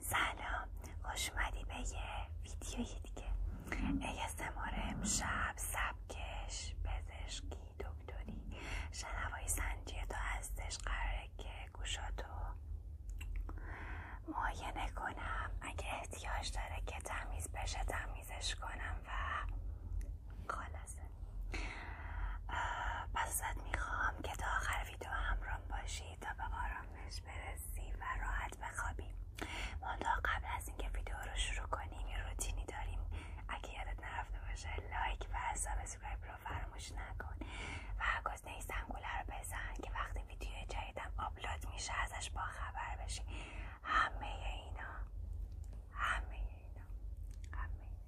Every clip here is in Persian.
سلام خوش به یه ویدیوی دیگه ASMR امشب سبکش پزشکی دکتری شنوایی سنجی تو هستش قراره که گوشاتو معاینه کنم اگه احتیاج داره که تمیز بشه تمیزش کنم و خلاصه پس میخوام که تا آخر ویدیو همرام باشی تا به آرامش برسی و راحت بخوابی منتها قبل از اینکه ویدیو رو شروع کنیم یه روتینی داریم اگه یادت نرفته باشه لایک و سابسکرایب رو فراموش نکن و گزینه زنگوله رو بزن که وقتی ویدیو جدیدم آپلود میشه ازش با خبر بشی همه اینا همه اینا همه اینا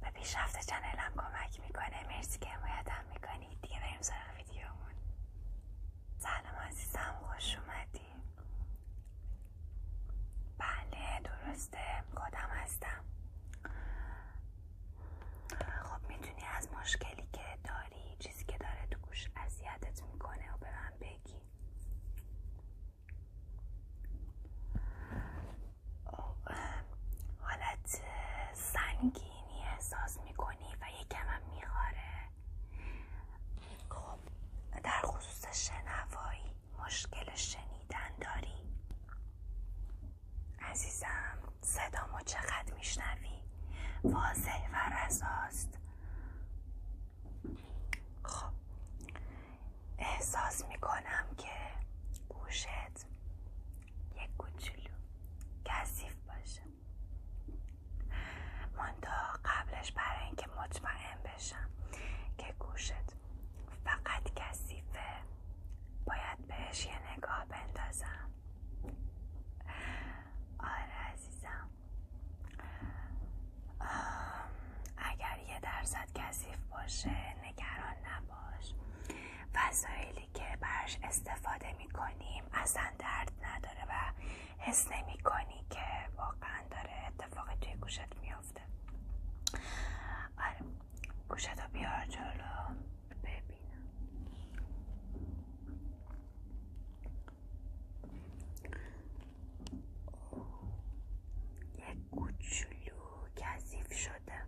به پیشرفت چنلم کمک میکنه مرسی که حمایتم میکنی. دیگه بریم سراغ ویدیومون سلام عزیزم خوش اومدی بله درسته خودم هستم خب میتونی از مشکلی که داری چیزی که داره تو گوش اذیتت میکنه و به من بگی حالت سنگینی احساس میکنی و یکم هم میخاره خب در خصوص شنوایی مشکل شنیدن داری عزیزم صدامو چقدر میشنوی واضح و رزاست خب احساس میکنم که گوشت یک کوچولو کثیف باشه منتها قبلش برای اینکه مطمئن بشم که گوشت فقط کثیفه باید بهش یه نگاه بندازم آره عزیزم اگر یه درصد کسیف باشه نگران نباش وسایلی که برش استفاده میکنیم اصلا درد نداره و حس نمی کنی که واقعا داره اتفاقی توی گوشت میافته آره گوشت بیار جلو ببینم یه کوچولو کثیف شده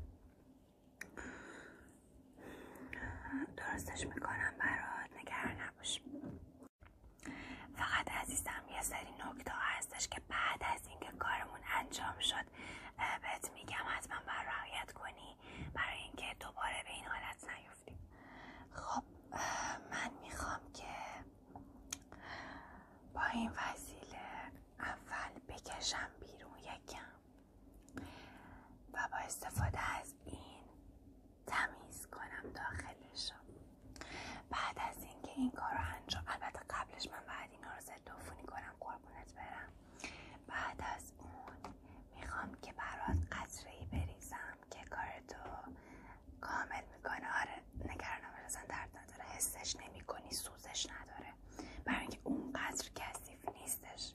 درستش میکنم برات نگران نباش فقط عزیزم یه سری نکته هستش که بعد از اینکه کارمون انجام شد بهت میگم حتما بر کنی برای اینکه دوباره به این حالت نیفتیم خب من میخوام که با این وسیله اول بکشم بیرون یکم و با استفاده از این تمیز کنم داخلش بعد از اینکه این کار رو انجام البته قبلش من بعد اینا رو ضد عفونی کنم قربونت برم بعد از اون میخوام که برات قطره ای بریزم که کارتو کامل میکنه آره نگران اصلا درد نداره حسش نمی کنی سوزش نداره برای اینکه اونقدر کثیف نیستش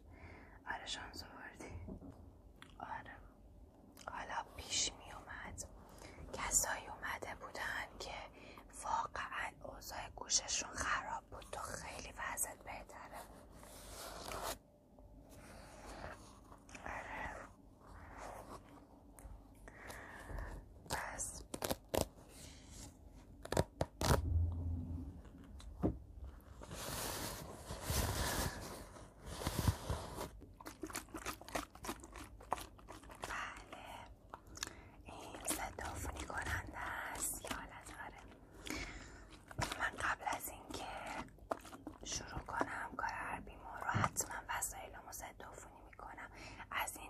آره شانس وردی. آره حالا پیش می اومد کسایی اومده بودن که واقعا اوضاع گوششون خراب بود تو خیلی وضعت بهتره آره. پس بله این صدافونی کننده است یا آره. من قبل از اینکه شروع کنم کار حتما رو حتما وسایلمو می میکنم از این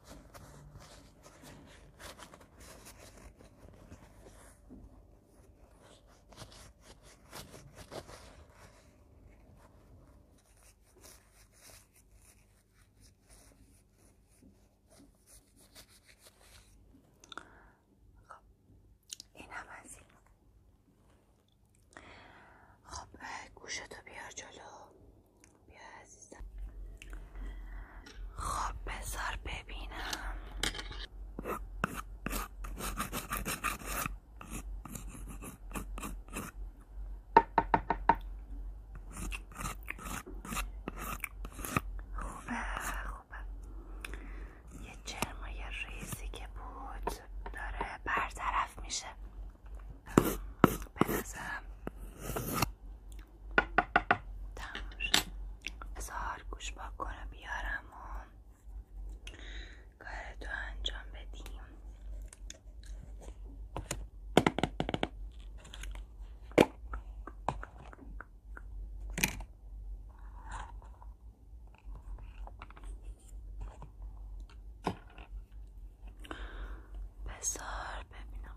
خب این هم از خب گوشتو بیار جلو بیا عزیزم خب بذار ببینم خوبه خوبه یه یه ریزی که بود داره برطرف میشه به تمام شد گوش پاک کنه بیارم و کارتو انجام بدیم بزار ببینم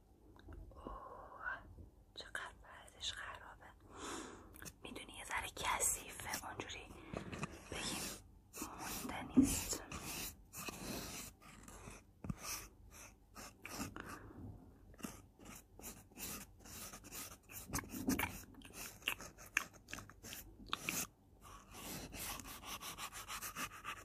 اوه چقدر پردش خرابه میدونی یه ذره کسیفه اونجوری بگیم مونده نیست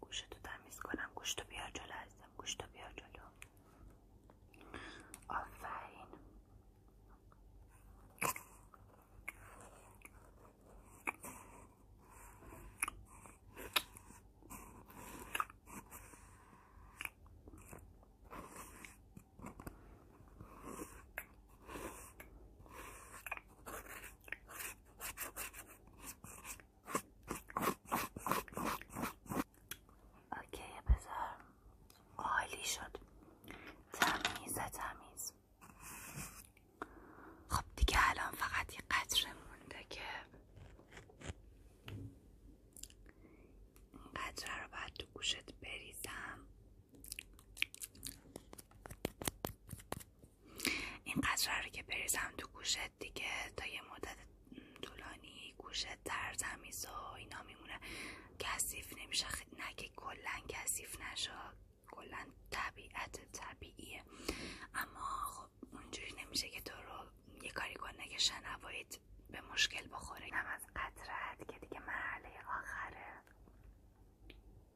گوشتو تمیز کنم گوشتو بیا جلو هستم گوشتو بیا جلو آفرین اوکی بذار عالی شد تمیزه تمیز خب دیگه الان فقط یه قطره مونده که این قطره رو بعد تو گوشت بریزم این قطره رو که بریزم تو گوشت دیگه تا یه مدت طولانی گوشت در تمیز و اینا میمونه کثیف نمیشه نه که کلا کثیف نشه کلا طبیعت طبیعیه اما خب اونجوری نمیشه که تو رو یه کاری کنه که شنوایید به مشکل بخوره هم از قطرت که دیگه مرحله آخره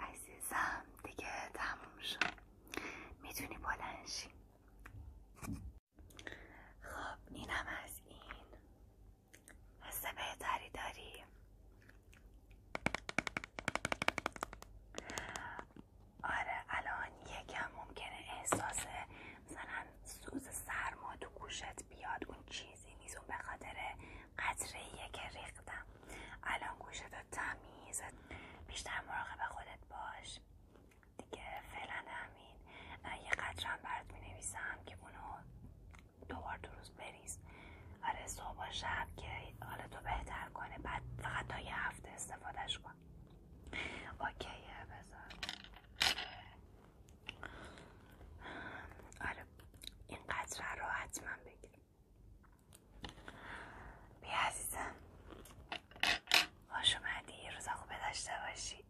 عزیزم دیگه تموم شد میتونی بلنشی خب اینم از این حس بهتری داری آره الان یکم ممکنه احساس مثلا سوز سرما تو گوشت بیاد اون چیزی نیست اون به خاطر قطره که ریختم الان گوشت تمیز بیشتر مراقب خودت باش دیگه فعلا همین یه قطرم برات می که اونو دوبار در روز بریز آره صبح و شب که حالا تو بهتر کنه بعد فقط تا یه هفته استفادهش کن اوکی بذار آره این قطره رو حتما بگیرم بیا عزیزم خوش اومدی روز خوبه داشته باشی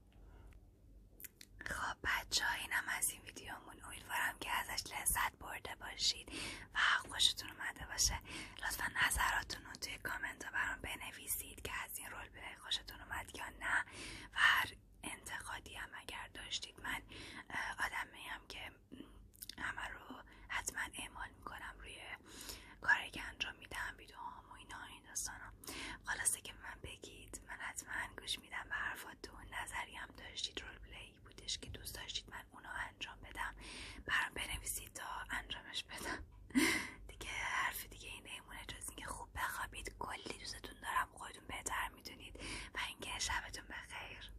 خب بچه ها اینم از این ویدیومون امیدوارم که ازش لذت برده باشید و خوشتون اومده باشه لطفا نظراتون رو توی کامنت ها برام بنویسید که از این رول برای خوشتون اومد یا نه و هر انتقادی هم اگر داشتید من آدم هم که همه رو حتما اعمال میکنم روی کاری که انجام میدم ویدیوهام و اینا این داستانا خلاصه که من بگید من حتما گوش میدم به حرفاتون نظری هم داشتید رول پلی بودش که دوست داشتید من اونو انجام بدم برام بنویسید تا انجامش بدم دیگه حرف دیگه این نمونه جز اینکه خوب بخوابید کلی دوستتون دارم خودتون بهتر میدونید و اینکه شبتون بخیر